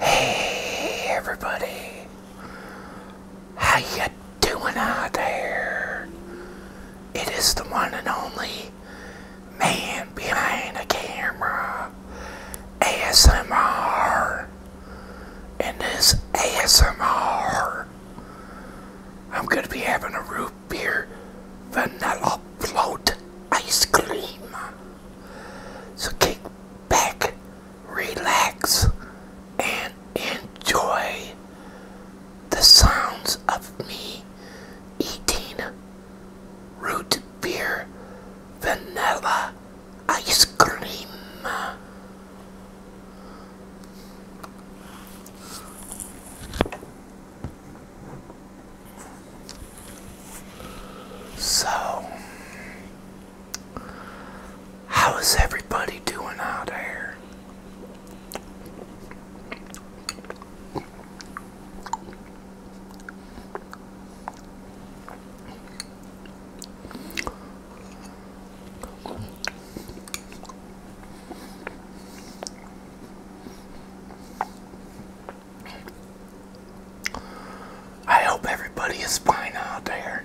Hey everybody, how you doing out there? It is the one and only man behind the camera, ASMR, and this ASMR, I'm gonna be having a root beer vanilla float ice cream. So kick back, relax, and enjoy the sounds of me eating root beer vanilla ice cream. So, how is everybody doing out there? I hope everybody is fine out there.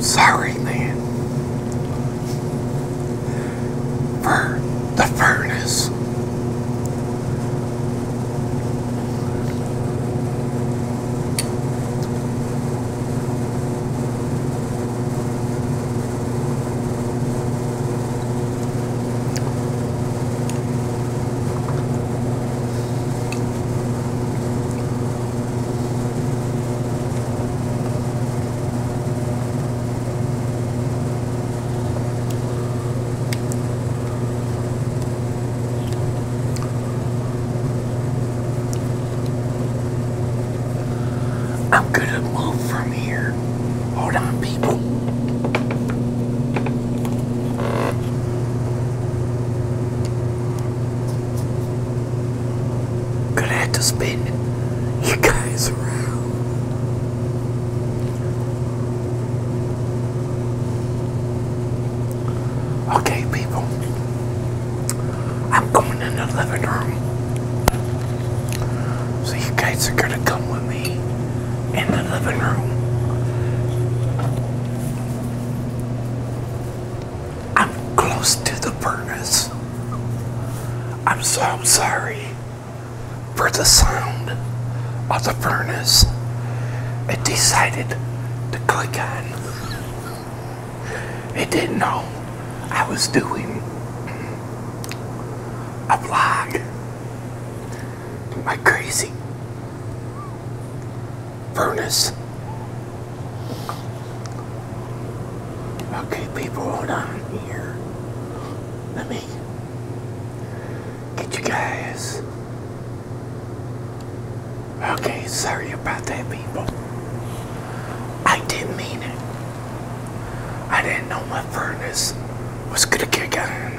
Sorry, man. For the furnace. I'm gonna move from here. Hold on, people. Gonna have to spin you guys around. Okay, people. I'm going in the living room. So you guys are gonna come with me in the living room. I'm close to the furnace. I'm so sorry for the sound of the furnace. It decided to click on. It didn't know I was doing a vlog. My crazy furnace Okay, people, hold on here. Let me get you guys. Okay, sorry about that, people. I didn't mean it. I didn't know my furnace was gonna kick on.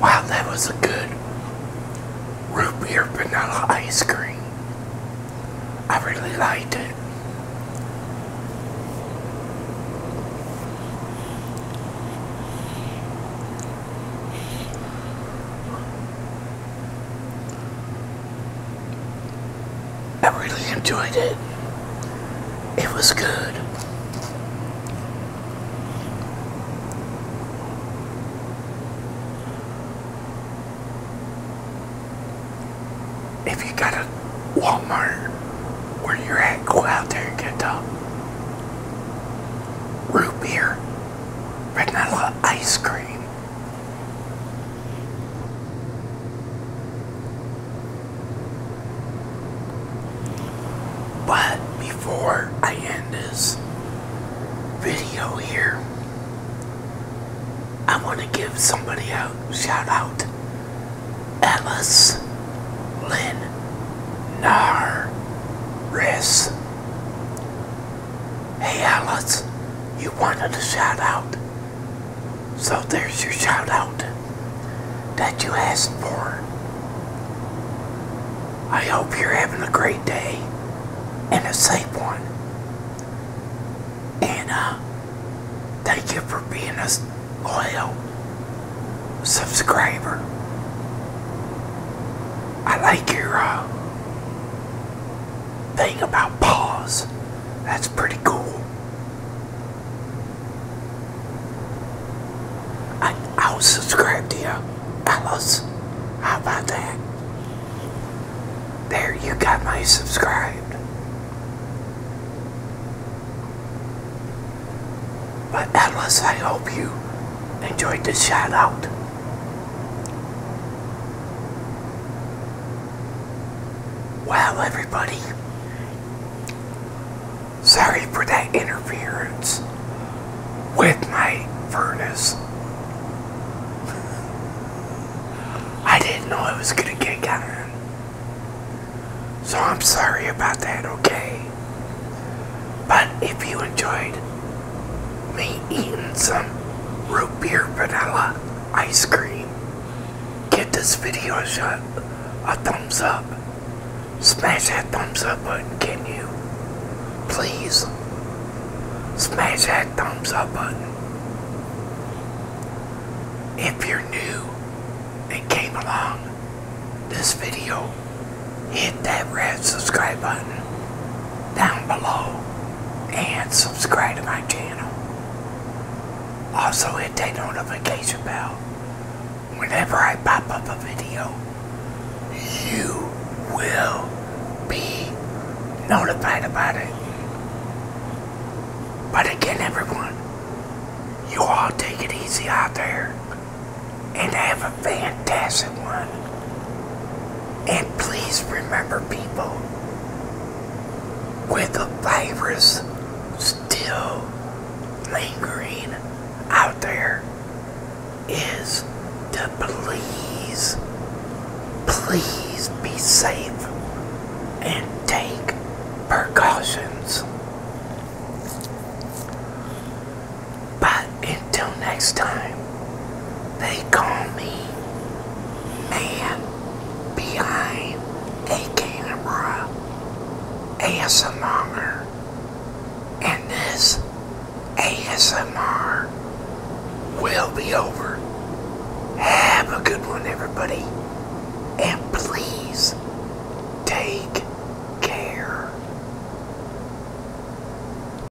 Wow, that was a good root beer vanilla ice cream. I really liked it. I really enjoyed it. It was good. If you got a Walmart where you're at, go out there and get the root beer vanilla ice cream. But before I end this video here, I want to give somebody a shout out Alice Lynn Narris. Hey Alice, you wanted a shout out. So there's your shout out that you asked for. I hope you're having a great day and a safe one. And uh, thank you for being a loyal subscriber. I like your uh, thing about paws. That's pretty cool. I, I'll subscribe to you, Alice. How about that? There, you got my subscribed. But Alice, I hope you enjoyed this shout out. Wow, everybody, sorry for that interference with my furnace. I didn't know I was going to get on. So I'm sorry about that, okay? But if you enjoyed me eating some root beer vanilla ice cream. Get this video a shot, a thumbs up. Smash that thumbs up button, can you? Please. Smash that thumbs up button. If you're new and came along, this video hit that red subscribe button down below and subscribe to my channel. Also hit that notification bell. Whenever I pop up a video, you will be notified about it. But again, everyone, you all take it easy out there and have a a fantastic one. And please remember, people, with the virus still lingering out there, is to please, please be safe and take precautions. But until next time, they call me Man Behind a Camera ASMR. And this ASMR will be over. Have a good one, everybody. And please take care.